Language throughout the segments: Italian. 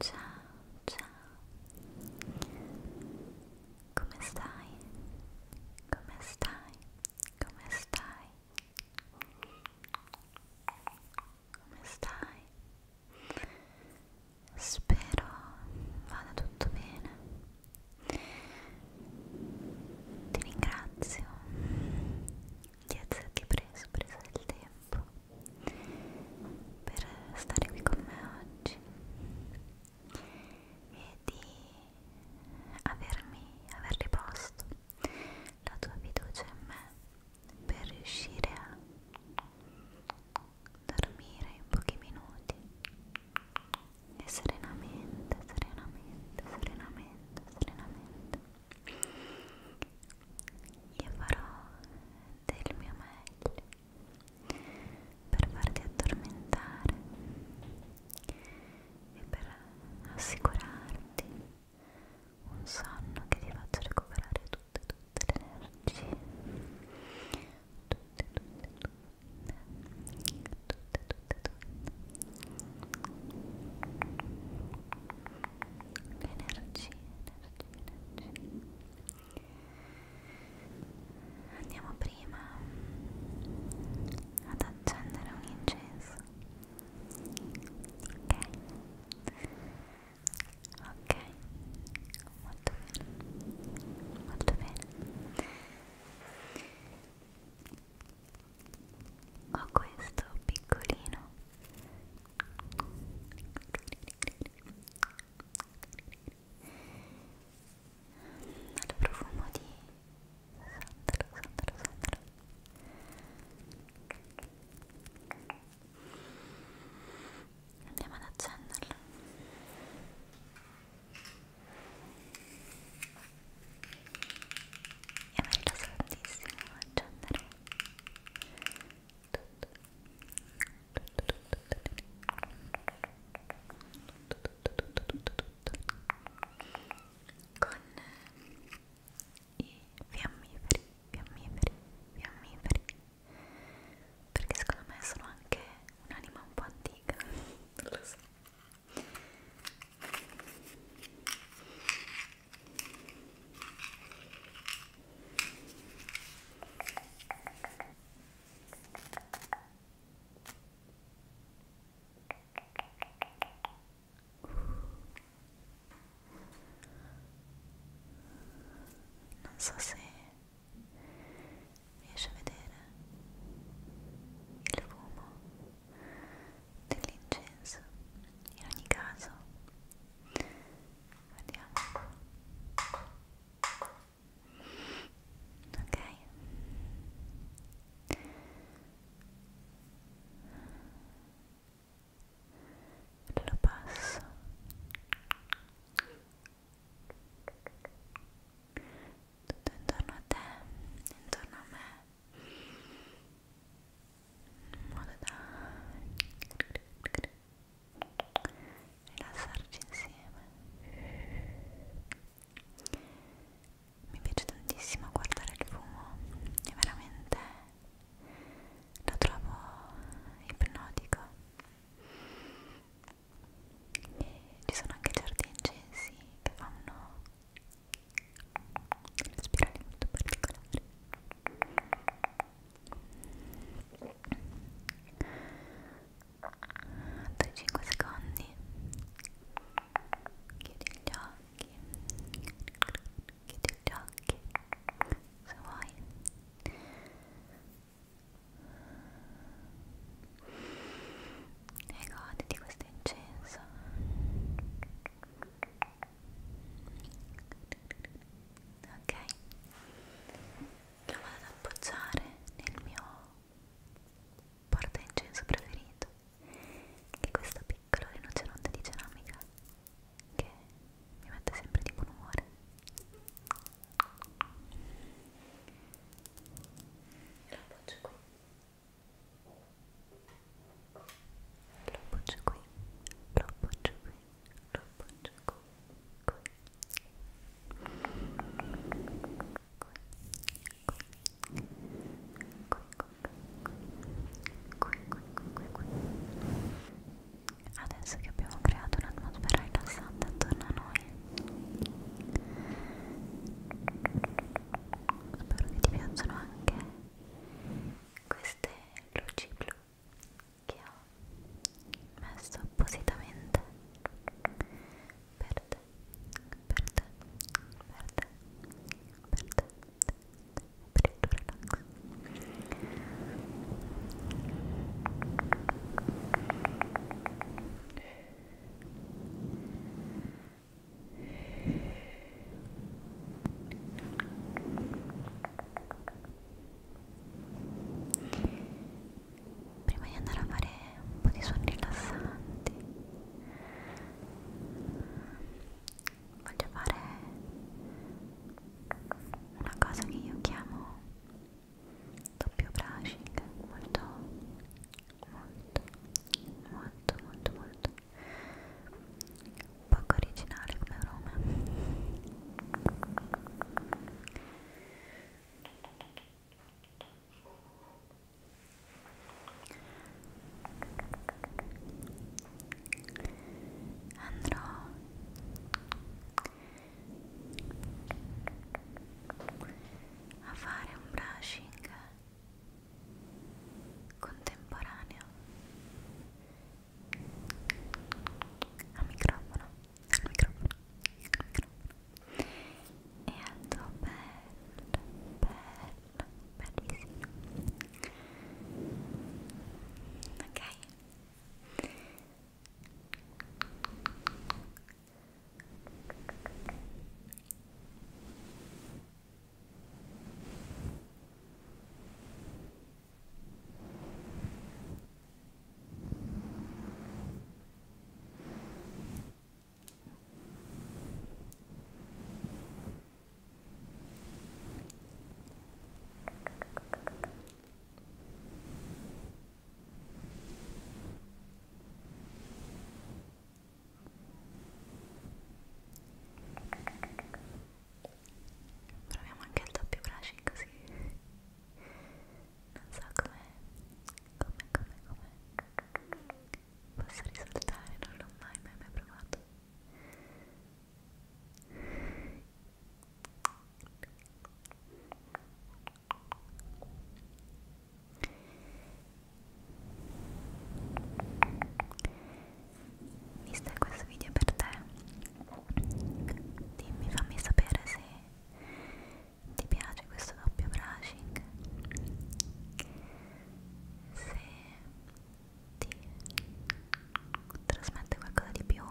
Ciao, ciao. Come stai? Come stai? Come stai? Come stai? Spero vada tutto bene. Ti ringrazio di esserti preso, preso del tempo tempo per stare qui con me oggi e di avermi, aver riposto la tua fiducia in me per riuscire a dormire in pochi minuti e serenamente, serenamente, serenamente, serenamente io farò del mio meglio per farti addormentare e per assicurarti un sonno che ti faccia recuperare tutte tutte le energie tutte tutte tutte tutte tutte tutte le energie energie energie andiamo prima ad accendere un incenso ok ok molto bene molto bene ho questo piccolino al profumo di sandalo, sandalo, sandalo andiamo ad accenderlo e mi rilassa tantissimo accendere con i fiammiferi, fiammiferi, fiammiferi perché secondo me sono anche un'anima un po' antica non lo so non so se riesci a vedere il fumo dell'incenso. In ogni caso, vediamo ok lo passo tutto intorno a te intorno a me in modo da rilassarci insieme mi piace tantissimo guardare il fumo è veramente lo trovo ipnotico e ci sono anche certi incensi che fanno delle spirali molto particolari altri 5 secondi chiudi gli occhi chiudi gli occhi se vuoi e goditi questo incenso ok lo vado ad appoggiare nel mio porta incenso preferito che è questa piccola rinoceronte di ceramica che mi mette sempre di buon umore e lo appoggio qui lo appoggio qui, lo appoggio qui lo appoggio qui, qui, qui, qui, qui, qui, qui, qui. Adesso che abbiamo creato un'atmosfera rilassante attorno a noi, spero che ti piacciono anche queste luci blu che ho messo appositamente per te, per te, per te, per te, per il tuo relax. Ora prima di andare a fare un po' di suoni rilassanti voglio fare una cosa che io chiamo doppio brushing molto molto molto molto molto poco originale come nome andrò a fare un brushing contemporaneo al microfono, al microfono, al microfono e al tuo bel, bel, bel visino ok? ok Proviamo anche il doppio brushing così non so come come come come possa risultare non l'ho mai mai mai provato Visto che questo video è per te dimmi, fammi sapere se ti piace questo doppio brushing se ti trasmette qualcosa di più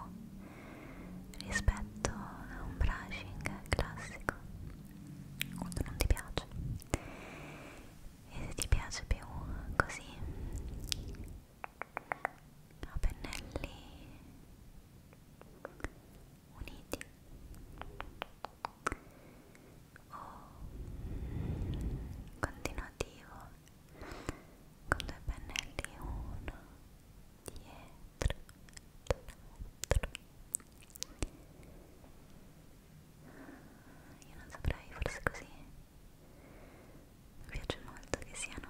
rispetto a un brushing classico quando non ti piace e se ti piace più così a pennelli uniti o oh. continuativo con due pennelli uno dietro l'altro io non saprei forse così mi piace molto che siano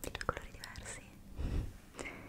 di due colori diversi. Ecco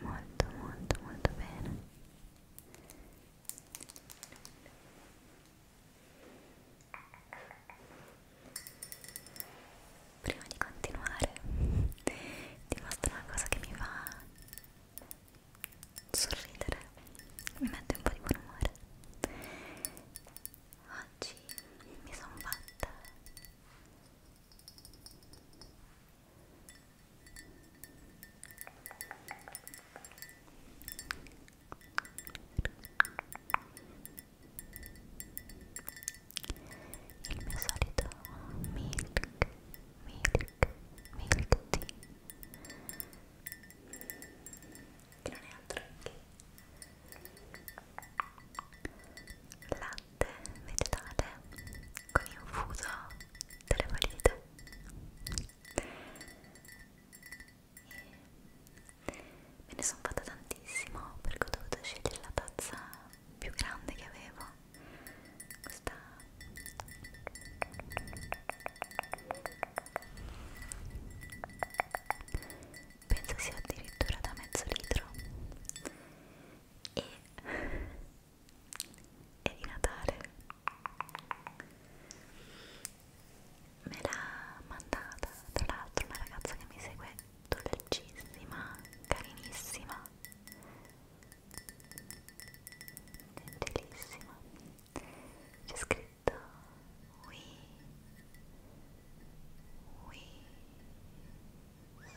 molto molto molto bene Prima di continuare ti mostro una cosa che mi fa sorridere, mi mette un po' di buon umore. Oggi mi sono fatta il mio solito milk milk milk tea che non è altro che latte vegetale con infuso delle valide me ne sono fatta tantissimo perché ho dovuto scegliere la tazza più grande che avevo questa penso sia addirittura da mezzo litro e e di Natale me l'ha mandata tra l'altro una ragazza che mi segue dolcissima, carinissima gentilissima c'è scritto we we Whisk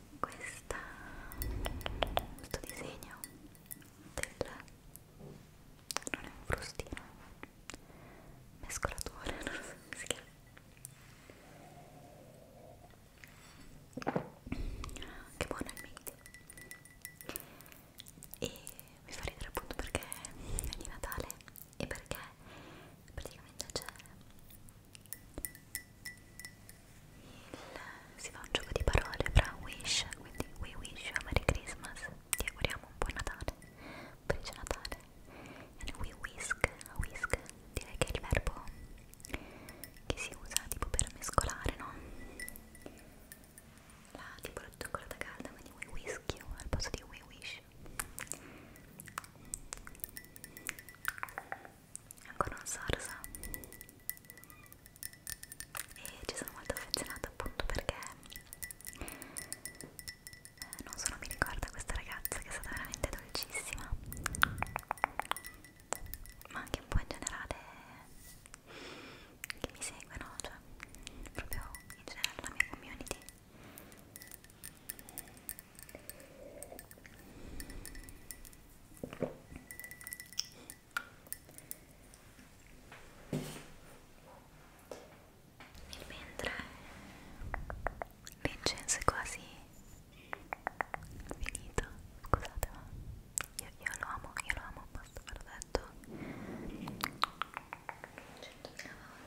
questa, questo disegno del non è un frustino mescolatore non so come si chiama che buono il made e mi fa ridere appunto perché è di Natale e perché praticamente c'è il, si fa un gioco di parole fra wish, quindi we wish you a Merry Christmas, ti auguriamo un buon Natale, un felice Natale, e we whisk, whisk, direi che è il verbo che si usa tipo per mescolare, no? La tipo la cioccolata calda, quindi we whisk you al posto di we wish ancora un sorso e ci sono molto affezionata appunto perché eh, non solo mi ricorda questa ragazza che è stata veramente dolcissima ma anche un po' in generale che mi seguono cioè proprio in generale la mia community e mentre Vincenzo è quasi finito, scusate ma io, io lo amo, io lo amo, basta ve l'ho detto centomila volte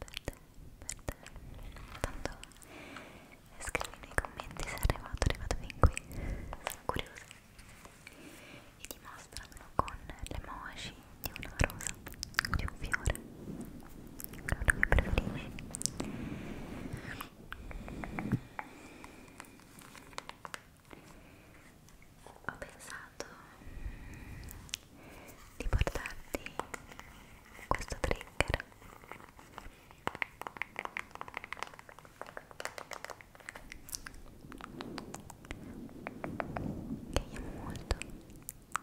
per te, per te tanto scrivi nei commenti se è arrivato, è arrivato fin qui sono curiosa e dimostramelo con l'emoji di una rosa, di un fiore quello che preferisci ho pensato di portarti questo trigger che io amo molto e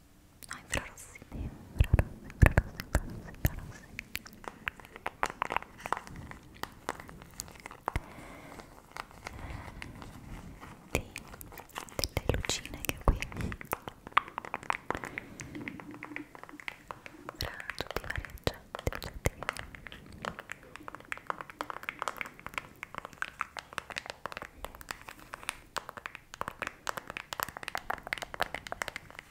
No, infrarossi, infrarossi, infrarossi, infrarossi, infrarossi. Dei, delle lucine che ho qui tra tutti i vari oggetti, oggetti Ecco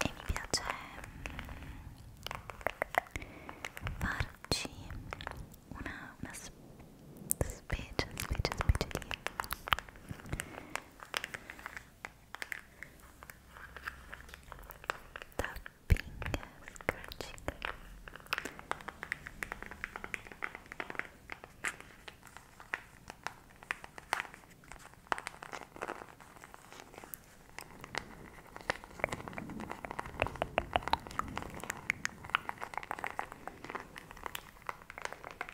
E mi piace mm, farci una, una Speeches, speeches, speeches Tapping, scratching Thank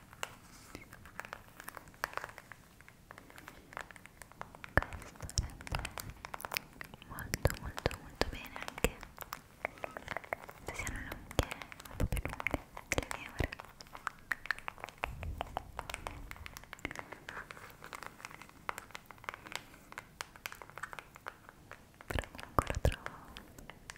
muy molto molto molto bene anche se siano no un po' più lunghe delle mie ore però comunque lo trovo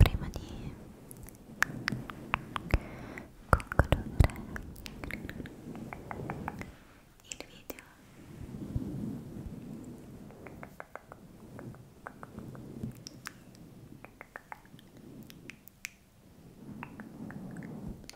prima di concludere il video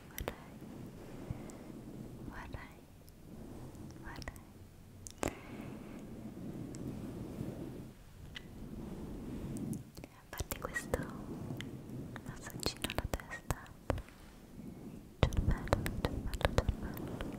vorrei, vorrei, vorrei. A parte questo massaggino alla testa, cervello, cervello, cervello.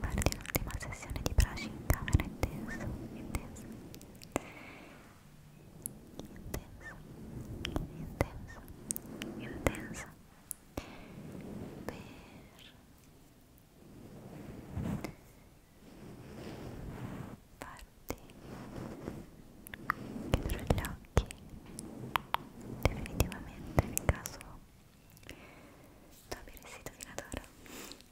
guardi l'ultima sessione di brushing in camera intenso, intenso intenso, intenso, intenso per farti chiudere gli occhi definitivamente nel caso tu abbia resito fino ad ora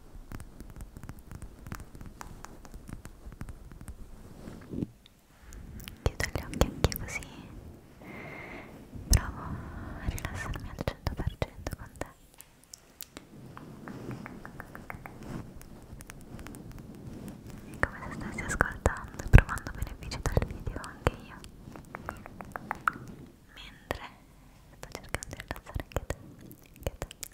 chiudo gli occhi anche così provo a rilassarmi al 100% con te e come se stessi ascoltando e provando benefici dal video anche io mentre sto cercando di rilassare anche te, anche te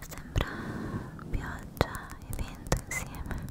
Sembra pioggia e vento insieme.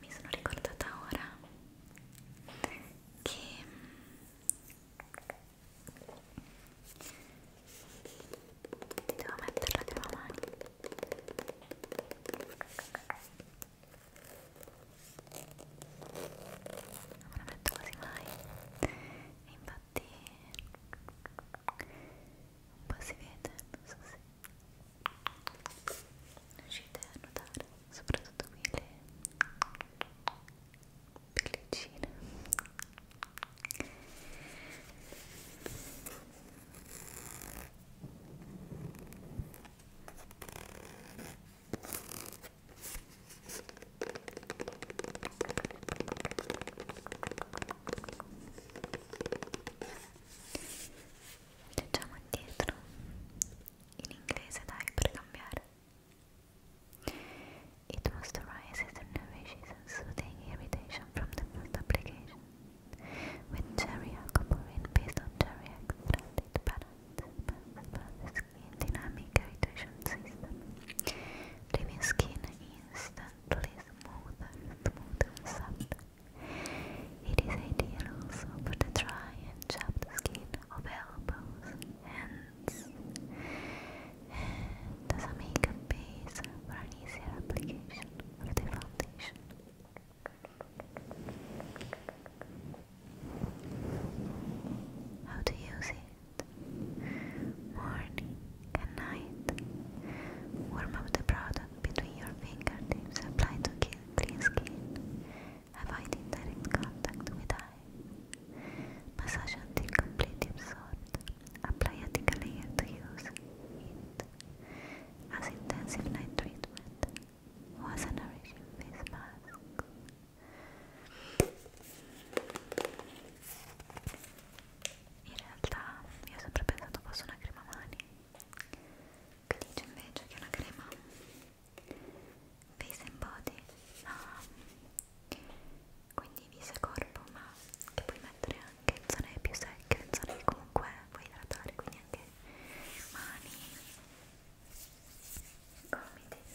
Mi sono ricordata ora che mm, devo metterla di una mano non me la metto quasi mai e infatti un po' si vede, non so se riuscite a notare soprattutto qui le pellicine Leggiamo indietro in inglese dai per cambiare. It was the nourishes soothing irritation from the first application. With cherry aquaporin based on cherry extract, it balances, skin dynamic irritation system, leaving skin in gently smoother, smoother, softer. It is ideal for the dry and chapped skin of elbows, hands, and as a base for an easier application of the foundation. How to use it? morning, and night. Warm up the product between your fingertips. Apply to clean skin. Avoid indirect contact with eye. Massage until completely absorbed. Apply a thicker layer to use it as intensive night treatment. Was a nourishing face mask. in realtà io ho sempre pensato fosse una crema mani che dice invece che è una crema face and body um, quindi viso e corpo ma che puoi mettere anche in zone più secche in zone che comunque puoi idratare quindi anche mani gomiti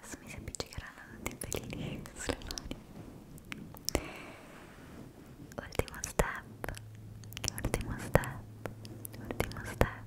Adesso mi si appiccicheranno dei pelini sulle mani. Ultimo step, ultimo step, ultimo step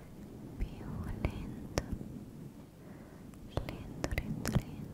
più lento lento lento lento lento lento lento Lento, lento,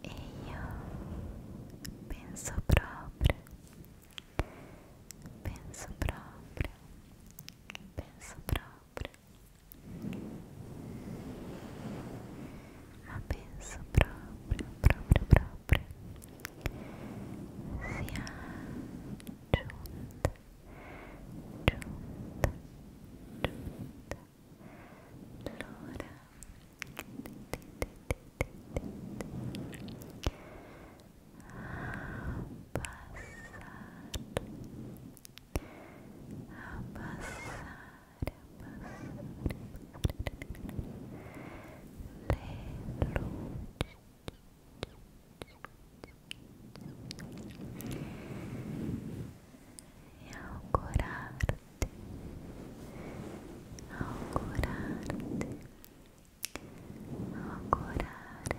E io penso proprio, penso proprio, penso proprio ma penso proprio, proprio, proprio sia giunta, giunta, giunta l'ora a passare a passar, a passar, e ao curar-te, ao curar-te, ao curar-te,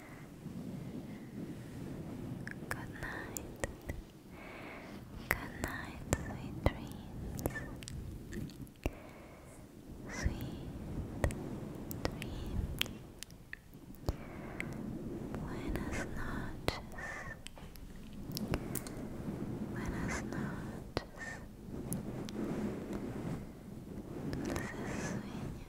Good night. Good night, sweet dreams. Sweet dreams. Buenas noches. Buenas noches. Dulces sueños.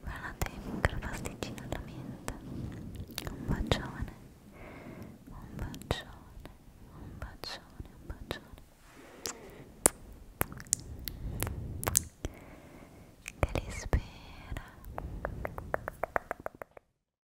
Guardate micropasticina alla menta Un bacione Un bacione Un bacione Un bacione Che li spera